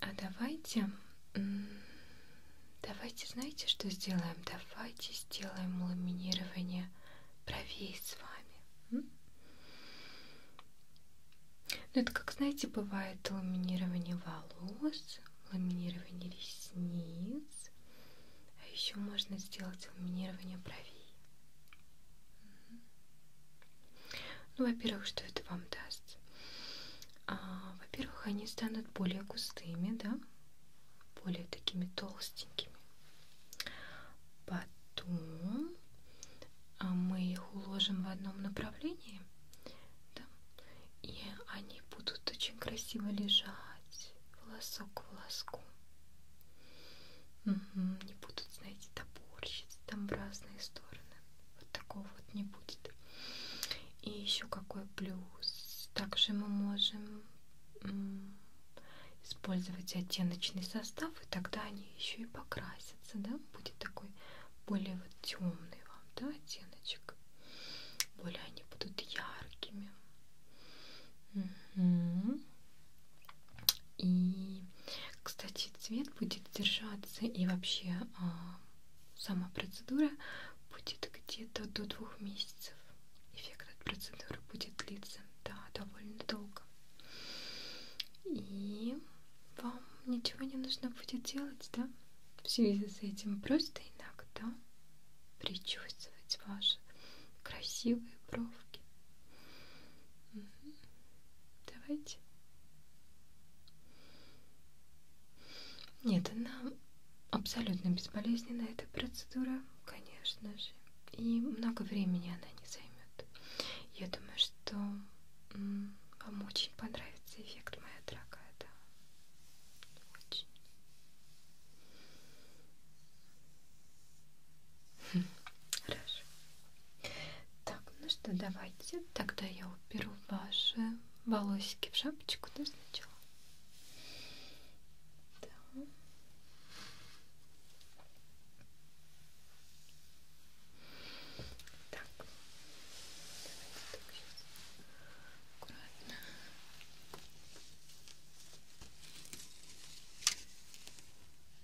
А давайте, давайте, знаете, что сделаем? Давайте сделаем ламинирование бровей с вами. Ну, это как, знаете, бывает ламинирование волос, ламинирование ресниц, а еще можно сделать ламинирование бровей. Ну, во-первых, что это вам даст? А, во-первых, они станут более густыми, да, более такими толстенькими. Потом а, мы их уложим в одном направлении, да, и они будут очень красиво лежать волосок к волоску. Угу, не будут, знаете, топорщиться там в разные стороны. Вот такого вот не будет. И еще какой плюс. Также мы можем использовать оттеночный состав, и тогда они еще и покрасятся, да? Будет такой более вот темный вам, да, оттеночек. Более они будут яркими. Угу. И, кстати, цвет будет держаться и вообще а, сама процедура будет где-то до двух месяцев. Эффект от процедуры будет длиться, да, довольно долго. И вам ничего не нужно будет делать, да? В связи с этим просто иногда причувствовать ваши красивые бровки. Угу. Давайте. Нет, она абсолютно безболезненна, эта процедура, конечно же. И много времени она не займет. Я думаю, что вам очень понравится эффект, моя дорогая, да. Очень. Хорошо. Так, ну что, давайте. Тогда я уберу ваши волосики в шапочку, да, сначала. Да. Так, давайте так сейчас аккуратно. Так.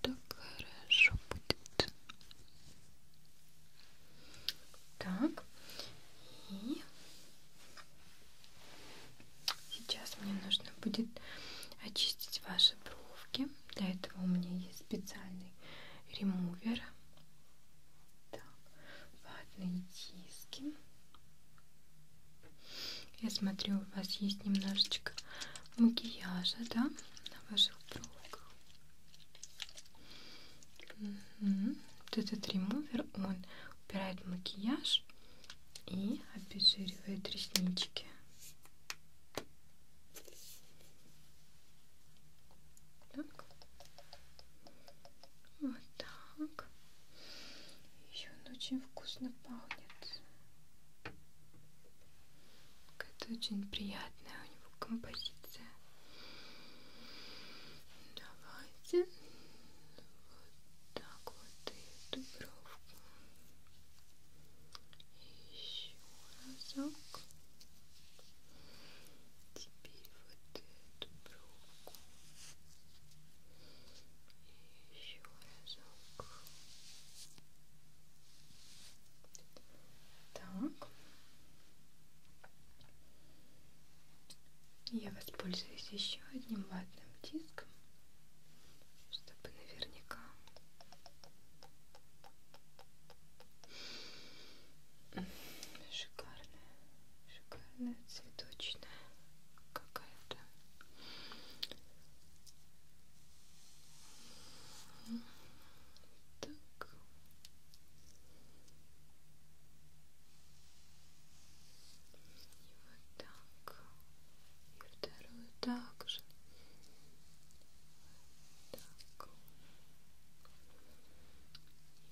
так хорошо будет. Так, и сейчас мне нужно будет очистить ваши бровки. Для этого у меня есть специальный ремувер. Так, ватные диски. Я смотрю, у вас есть немножечко макияжа, да, на ваших бровках. Угу. Вот этот ремувер, он убирает макияж и обезжиривает реснички. Так. Вот так. Еще он очень вкусно пахнет. Какая-то очень приятная у него композиция. Давайте вот так вот и эту бровку. И еще разок. Теперь вот эту бровку еще разок. Так. Я воспользуюсь еще одним ватным диском, чтобы наверняка. Шикарная, шикарная цветочная какая-то так. И вот так. И вторую также. Так.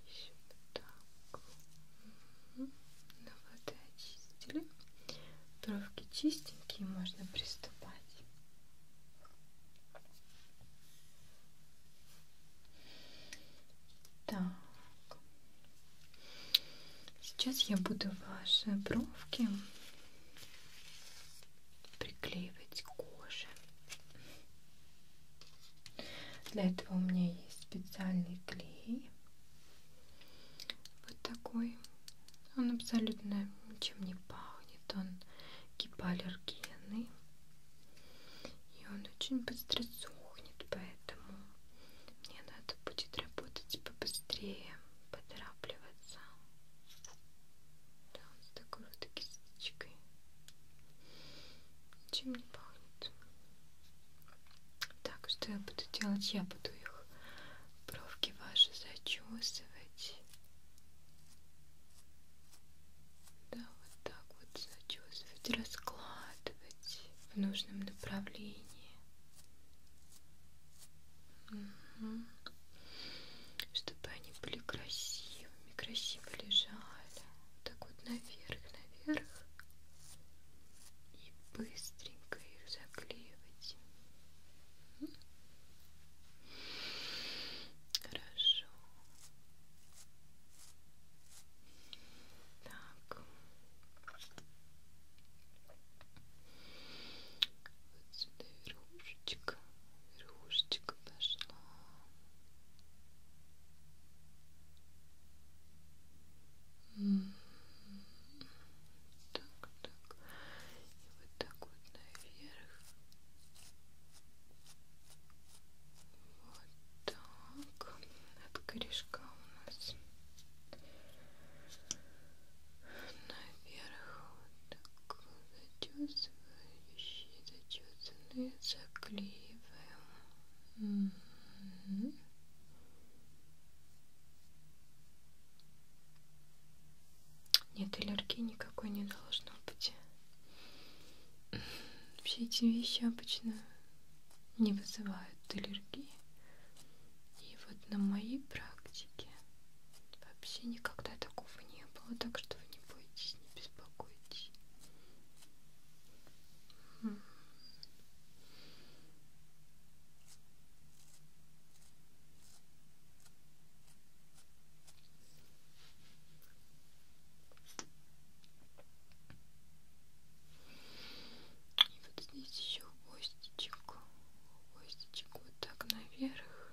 Еще вот так. Угу. Ну вот и очистили. Бровки чистенькие, можно приступать. Так. Сейчас я буду ваши бровки приклеивать к коже. Для этого у меня есть специальный клей. Вот такой. Он абсолютно ничем не пахнет. Он гипоаллергенный. И он очень быстро сухнет, поэтому мне надо будет работать побыстрее, поторапливаться. Да, он с такой вот кисточкой. Ничем не пахнет. Так, что я буду делать? Я буду их бровки ваши зачесывать. Да, вот так вот зачесывать, раскладывать в нужном направлении. Угу. Чтобы они были красивыми, красиво лежали. Так вот наверх, наверх. И быстренько их заклеивать. Хорошо. Так. Вот сюда верхушечка. Верхушечка пошла. Угу так, так, и вот так вот наверх, вот так, от корешка у нас наверх, вот так, зачесывающие, зачесанные, заклеиваем. Mm -hmm. Нет, аллергии никакой не должно быть. Все эти вещи обычно не вызывают аллергии. И вот на моей практике вообще никогда такого не было, так что вы не бойтесь, не беспокойтесь. И вот здесь еще хвостичек, хвостичек вот так наверх.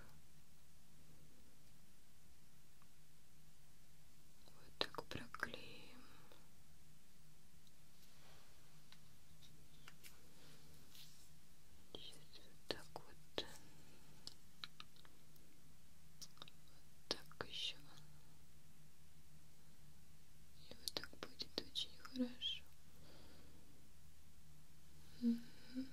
Вот так проклеим. Сейчас вот так вот. Вот так еще. И вот так будет очень хорошо. Угу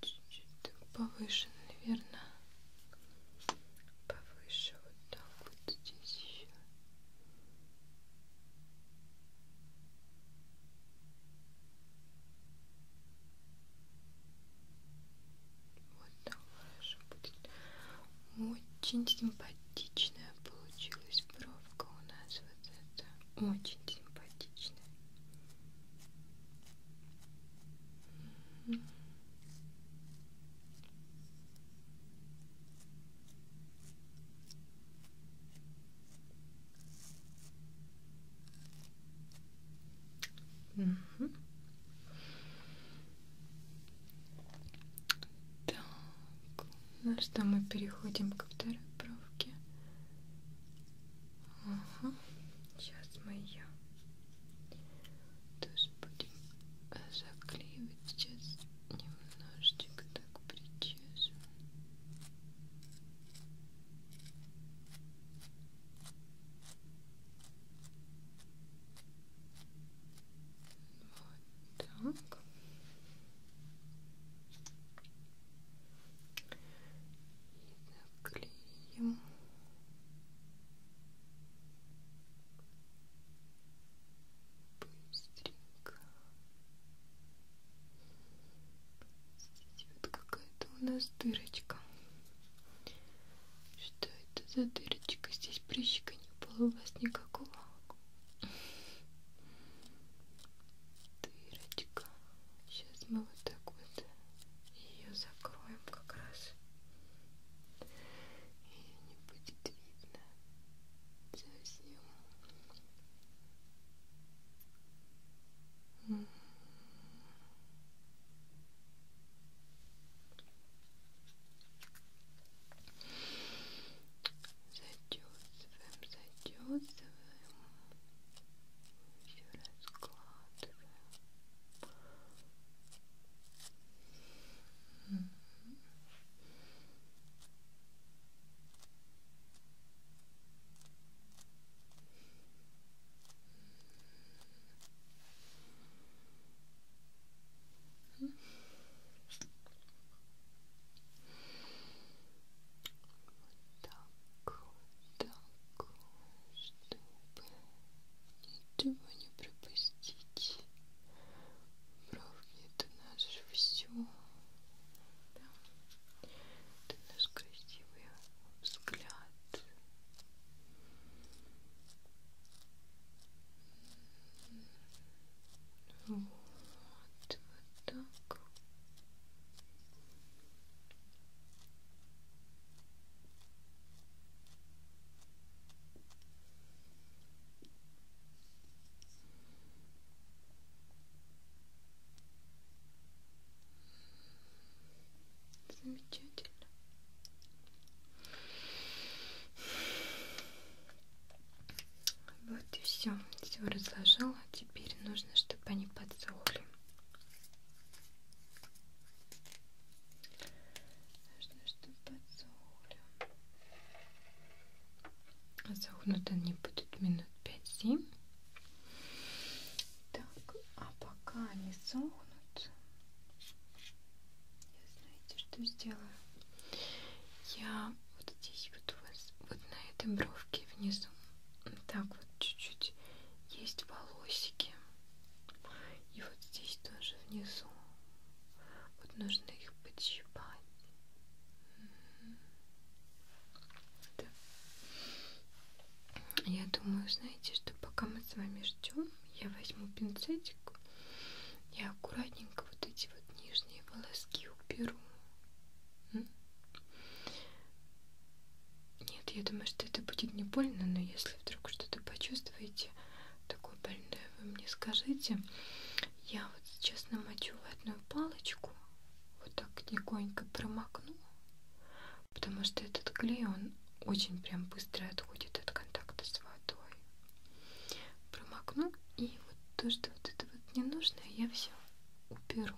чуть-чуть повыше, наверное, повыше вот так вот здесь еще. Вот так хорошо будет. Очень симпатичная получилась бровка у нас вот эта. Очень симпатичная. Угу. Так, ну что, мы переходим ко второй бровке. Ага. Сейчас мы ее тоже будем э, заклеивать. Сейчас немножечко так причешем. Вот так наклеим быстренько здесь вот какая-то у нас дырочка что это за дырочка? здесь прыщика не было у вас никакого дырочка сейчас мы вот так вот ее закроем как раз ее не будет видно совсем mm. Зачесываем, зачесываем. Все раскладываем. Вот так, вот так чтобы ничего не а пропустить. Бровки это наше все. Да. Это наш красивый взгляд. Вот, вот так. Замечательно. Вот и все. Все разложила. Теперь нужно, чтобы они подсохли. Нужно, чтобы подсохли. А сохнут они будут минут 5-7. Так, а пока они сохнут, я знаете, что сделаю? Я вот здесь вот у вас, вот на этой бровке внизу так вот чуть-чуть есть волосики. И вот здесь тоже внизу. Вот нужно их подщипать. Да. Я думаю, знаете, что пока мы с вами ждем, я возьму пинцетик и аккуратненько вот эти вот нижние волоски уберу. Нет, я думаю, что это будет не больно, но если вдруг что-то почувствуете такое больное, вы мне скажите. Я вот сейчас намочу водную палочку, вот так легонько промокну, потому что этот клей, он очень прям быстро отходит от контакта с водой. Промокну, и вот то, что вот это вот ненужное, я все уперу,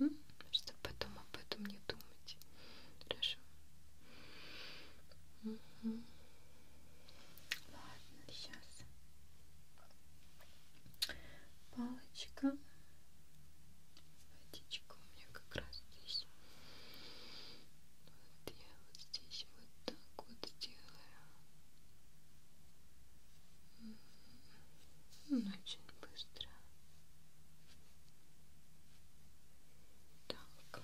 угу. чтобы потом об этом не думать подумать. Хорошо. Угу. Ладно, сейчас. Палочка. Водичка у меня как раз здесь. Вот я вот здесь вот так вот сделаю. Ну, очень быстро. Так.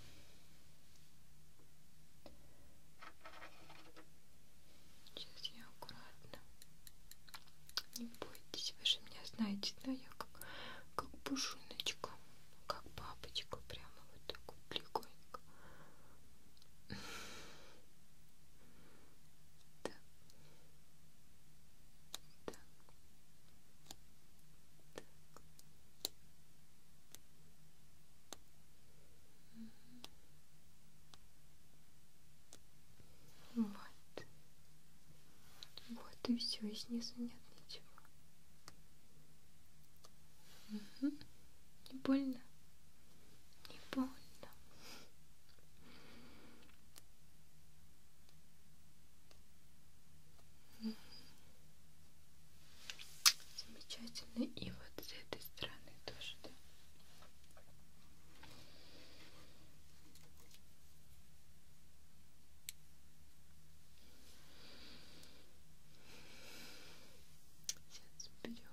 Сейчас я аккуратно. Не бойтесь, вы же меня знаете, да? Я как, как пушиночка, как бабочка, прямо вот так вот легонько. Так. Так. Угу. Вот. Вот и все, и снизу нет ничего. Угу. Не больно? Не больно. Замечательно. И вот с этой стороны тоже, да? Сейчас берем, берем,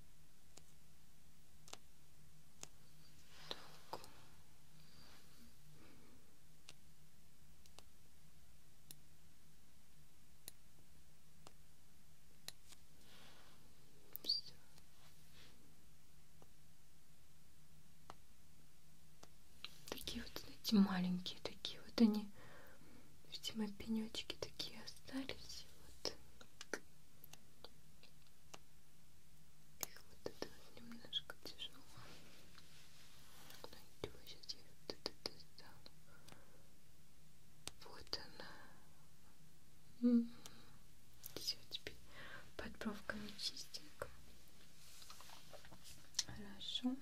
Так. Все. Такие вот, знаете, маленькие такие вот они, видимо, пенечки такие остались. Вот. Их вот это вот немножко тяжело. Но ничего, сейчас я вот это достану. Вот она. М-м-м. Все, теперь под бровками чистенько. Хорошо.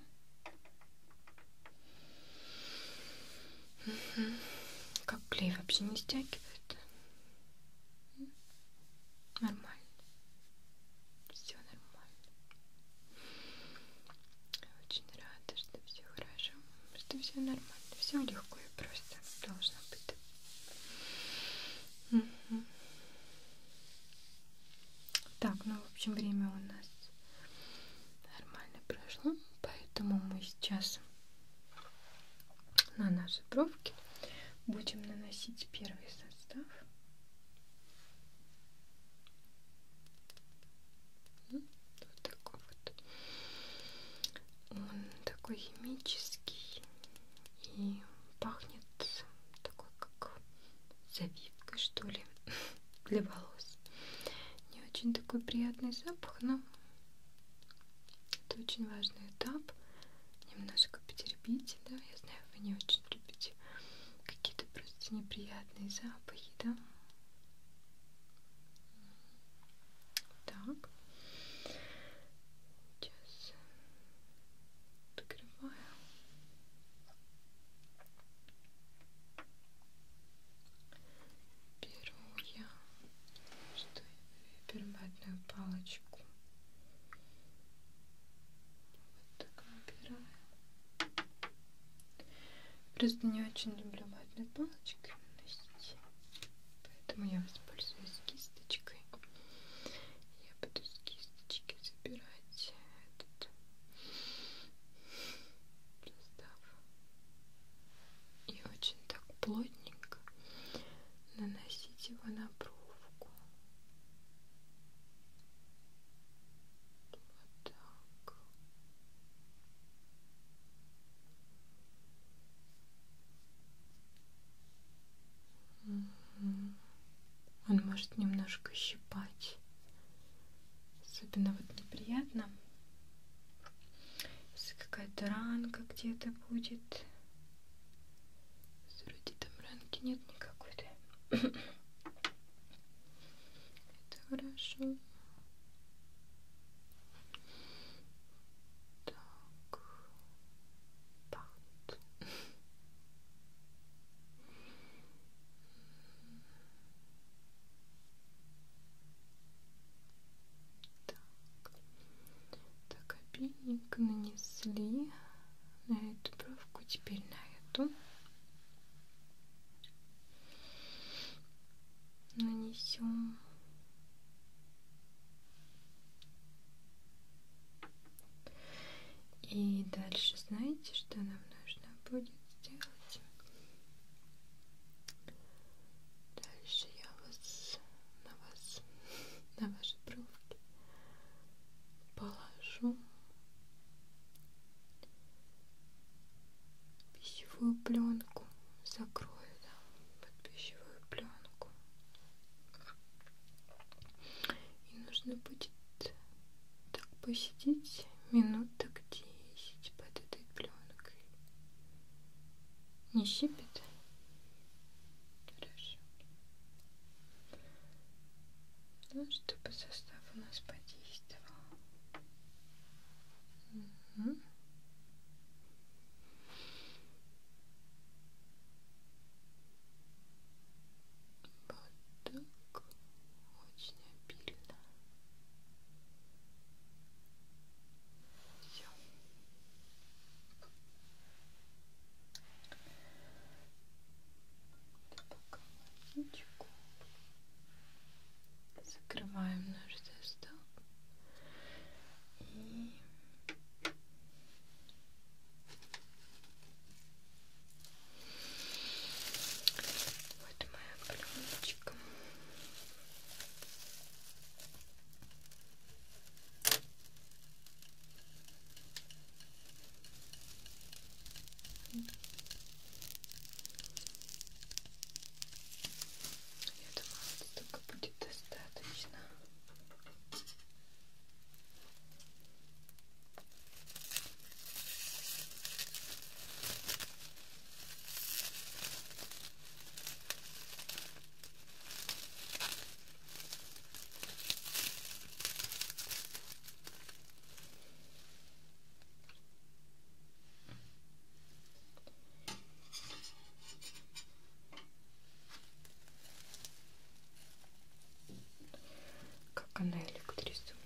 Угу. Как клей вообще не стягивает. Нормально. Все нормально. Очень рада, что все хорошо. Что все нормально. Все легко и просто должно быть. Угу. Так, ну в общем время у нас нормально прошло, поэтому мы сейчас на наши бровки будем наносить первый состав. Ну, вот такой вот. Он такой химический и пахнет такой как завивкой что ли для волос. Не очень такой приятный запах, но это очень важный этап. Немножко потерпите, да, я знаю, вы не очень любите какие-то просто неприятные запахи, да. Так. Сейчас покрываю. Беру я что, перматную палочку. Вот так выбираю. Просто не очень люблю ватной палочкой наносить. Поэтому я воспользуюсь кисточкой. Я буду с кисточки забирать этот состав и очень так плотненько наносить его на бровку. Вот так. Он может немножко щипать. Особенно вот неприятно. Если какая-то ранка где-то будет. Вроде там ранки нет никакой-то. Это хорошо. Так. Паут. Так, так обильненько нанесли на эту бровку, теперь на эту. Нанесем. И дальше знаете, что нам нужно будет сделать? Дальше я вас на вас, на ваши бровки положу пищевую пленку, закрою там да, под пищевую пленку. И нужно будет так посидеть минут так 10 под этой пленкой. Не щипит? Хорошо. Ну, чтобы состав у нас подействовал. Угу. Вот так. Очень обильно. Все. Пока закрываем наш десктоп и вот моя пленочка я думаю, столько будет достаточно. Как она электризует.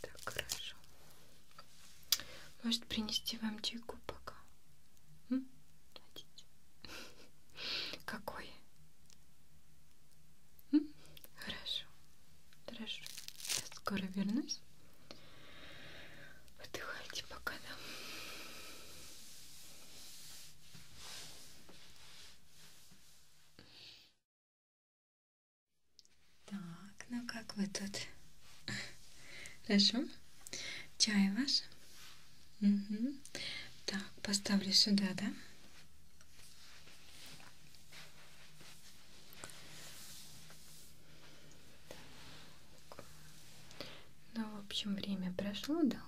Так, хорошо. Может принести вам чайку пока? М? Хотите? Какой? М? Хорошо, хорошо. Я скоро вернусь. Отдыхайте пока, да? Так, ну как вы тут? Хорошо? Чай ваш? Угу. Так, поставлю сюда, да? Так. Ну, в общем, время прошло, да, у нас.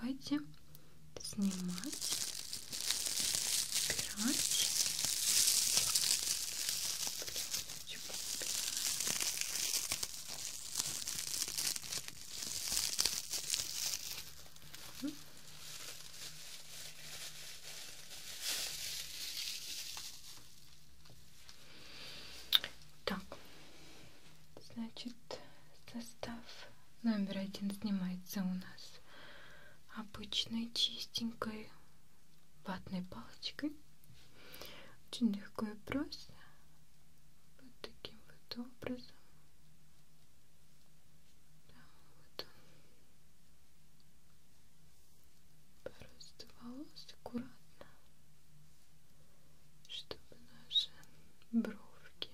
Давайте снимать, убирать. Так, значит, состав номер один снимается у нас обычной чистенькой ватной палочкой. Очень легко и просто. Вот таким вот образом. Вот. Просто волос аккуратно, чтобы наши бровки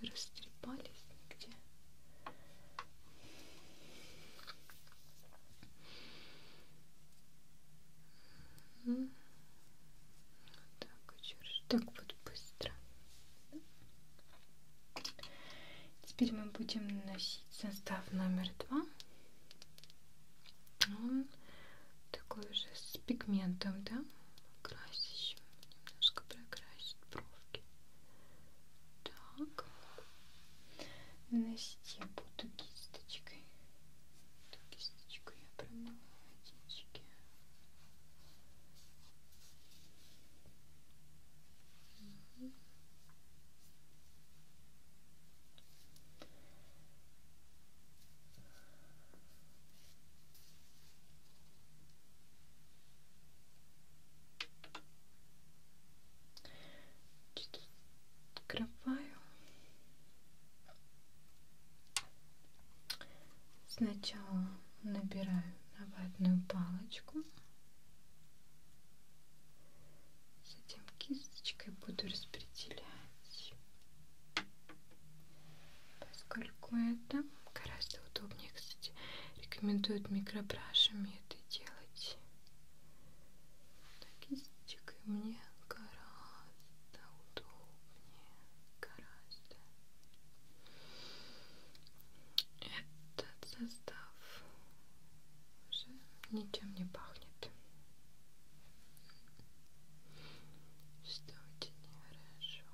не растрепались нигде. Так, еще раз. Так вот быстро. Теперь мы будем наносить состав номер два. Он такой же с пигментом, да? Красящим. Немножко прокрасить бровки. Так наносить я буду кисточкой. Эту кисточку я промыла водички. Угу. Угу. Чуть открываю. Сначала набираю на ватную палочку. Затем кисточкой буду распределять. Поскольку это гораздо удобнее, кстати, рекомендуют микробрашами это делать. Так, мостик, и мне гораздо удобнее, гораздо. Этот состав уже ничем не пахнет, что очень хорошо.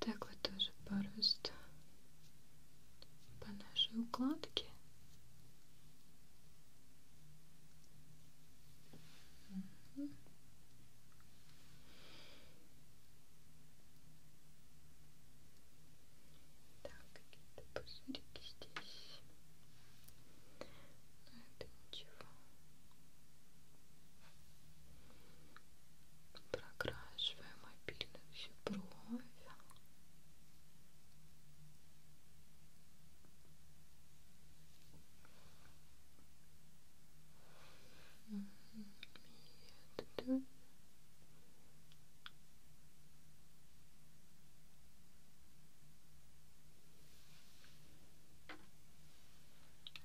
Так вот тоже просто по нашей укладке Угу. Так, какие-то пузырики здесь. Но ну, это ничего. Прокрашиваем обильно всю бровь. Нет,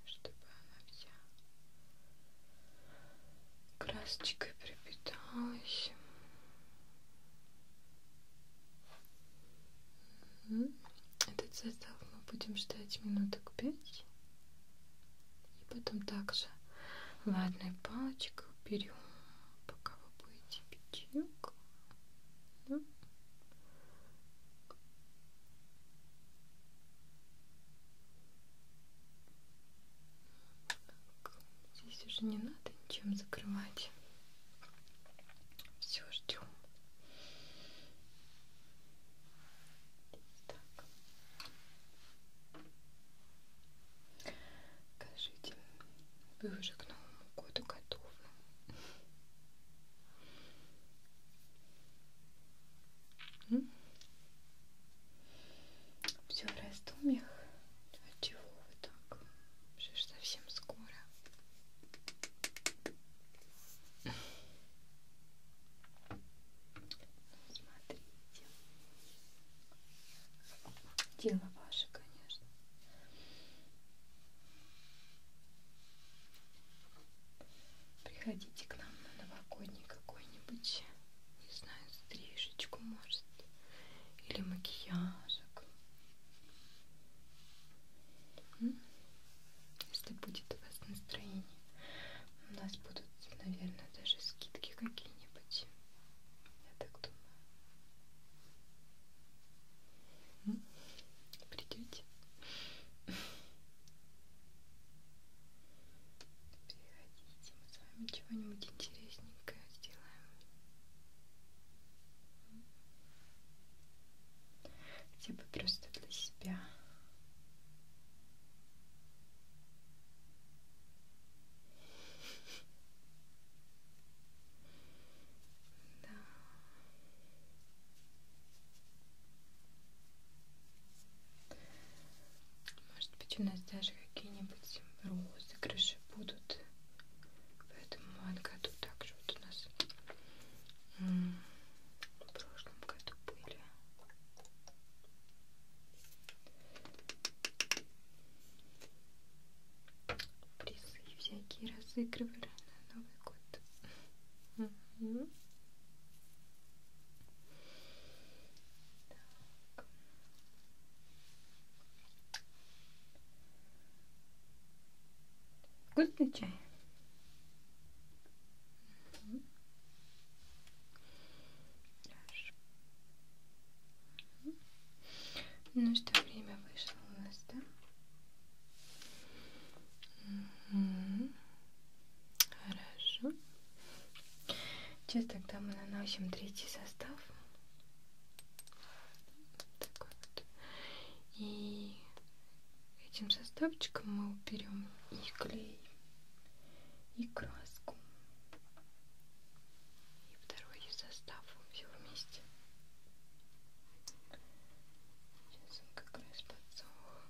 чтобы она вся красочкой припиталась. Этот состав мы будем ждать минуток пять. И потом также ватной палочкой уберем пока вы будете печеньку. Да. Так, здесь уже не надо ничем закрывать. Все ждем. Так. Скажите, вы уже к Новому году готовы? Все в раздумьях. От чего вот так. Уже совсем скоро. Ну, смотрите. Дело ваше, конечно. Приходите к нам на новогодний какой-нибудь, не знаю, стрижечку, может, или макияжик. Если будет у вас настроение, у нас будут, наверное, даже скидки какие-нибудь. Я так думаю. Придете? Приходите, мы с вами чего-нибудь интересненькое сделаем хотя бы просто для себя. Да. Может быть, у нас даже какие-нибудь розыгрыши будут в этом году также вот у нас в прошлом году были призы всякие разыгрывали на Новый год. Mm -hmm. так. Вкусный чай. Хорошо. Ну что, время вышло у нас, да? Угу. Хорошо. Сейчас тогда мы наносим третий состав. Такой вот. И этим составчиком мы уберем и клей, и краску, и второй состав все вместе. Сейчас он как раз подсох.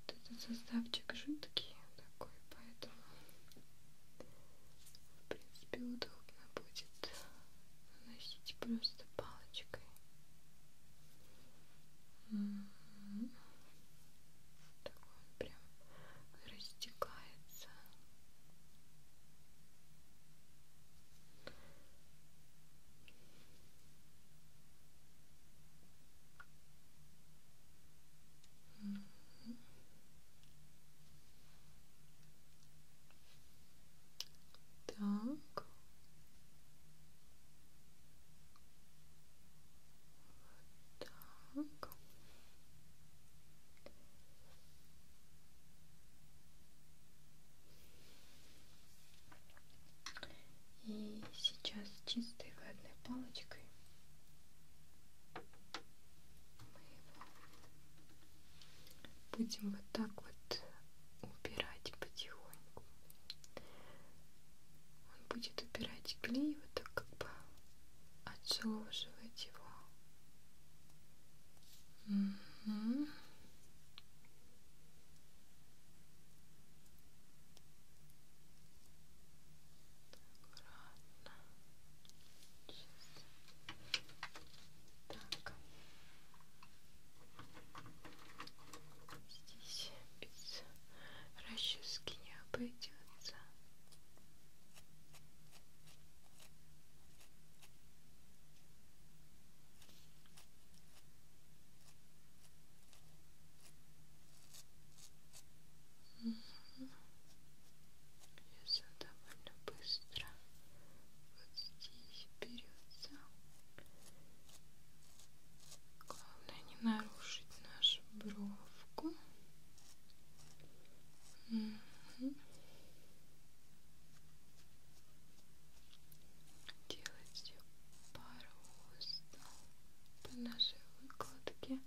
Вот этот составчик жидкий такой, поэтому в принципе удобно будет наносить просто палочкой. М-м-м. Такой он прям растекается. Так. Так. И сейчас чистой ватной палочкой мы его будем вот так вот убирать потихоньку. Он будет убирать клей, вот так как бы отшелушивать его. Угу. Так, ладно. Так. Здесь без расчески не обойдется. Так, Угу. Если довольно быстро вот здесь берется. Главное не нарушить нашу бровку. Угу. Делать ее по росту, по нашей выкладке.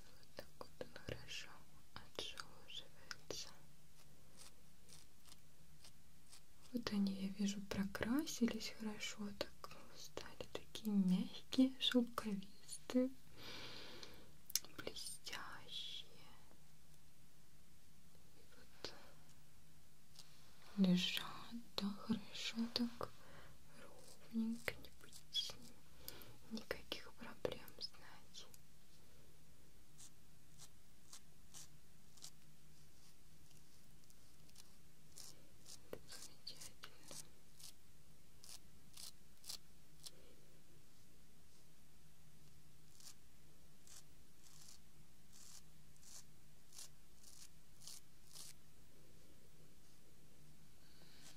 Вот так вот он хорошо отжевывается. Вот они, я вижу, прокрасились хорошо, так стали такие мягкие, шелковистые, блестящие. И вот лежат, да, хорошо так ровненько, не будет никаких проблем, знаете. Это замечательно. Замечательно. Вот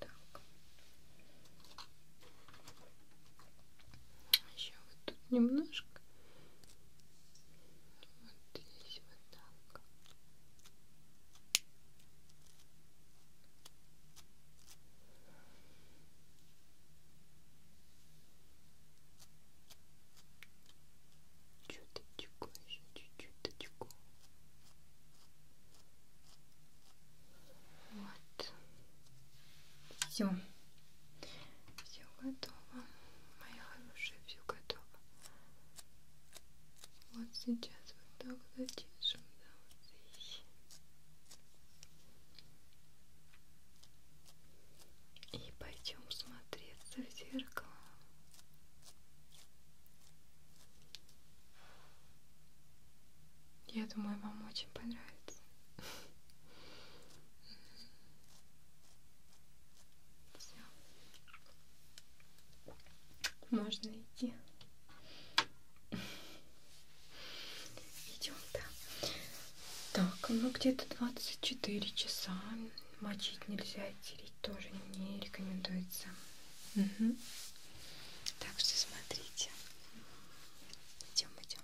так. Еще вот тут немножко. Вот здесь вот так. Чуточку, еще чуть-чуточку. Вот. Все. Все готово. Моя хорошая, все готово. Вот сейчас вот так затяжу schon aussieht. И пойдем смотреться в зеркало. Я думаю, вам очень понравится. Все. Можно идти. Идем, да. Так, ну где-то 24 часа. Мочить нельзя, тереть тоже не рекомендуется. Угу. Так что смотрите. Идем, идем.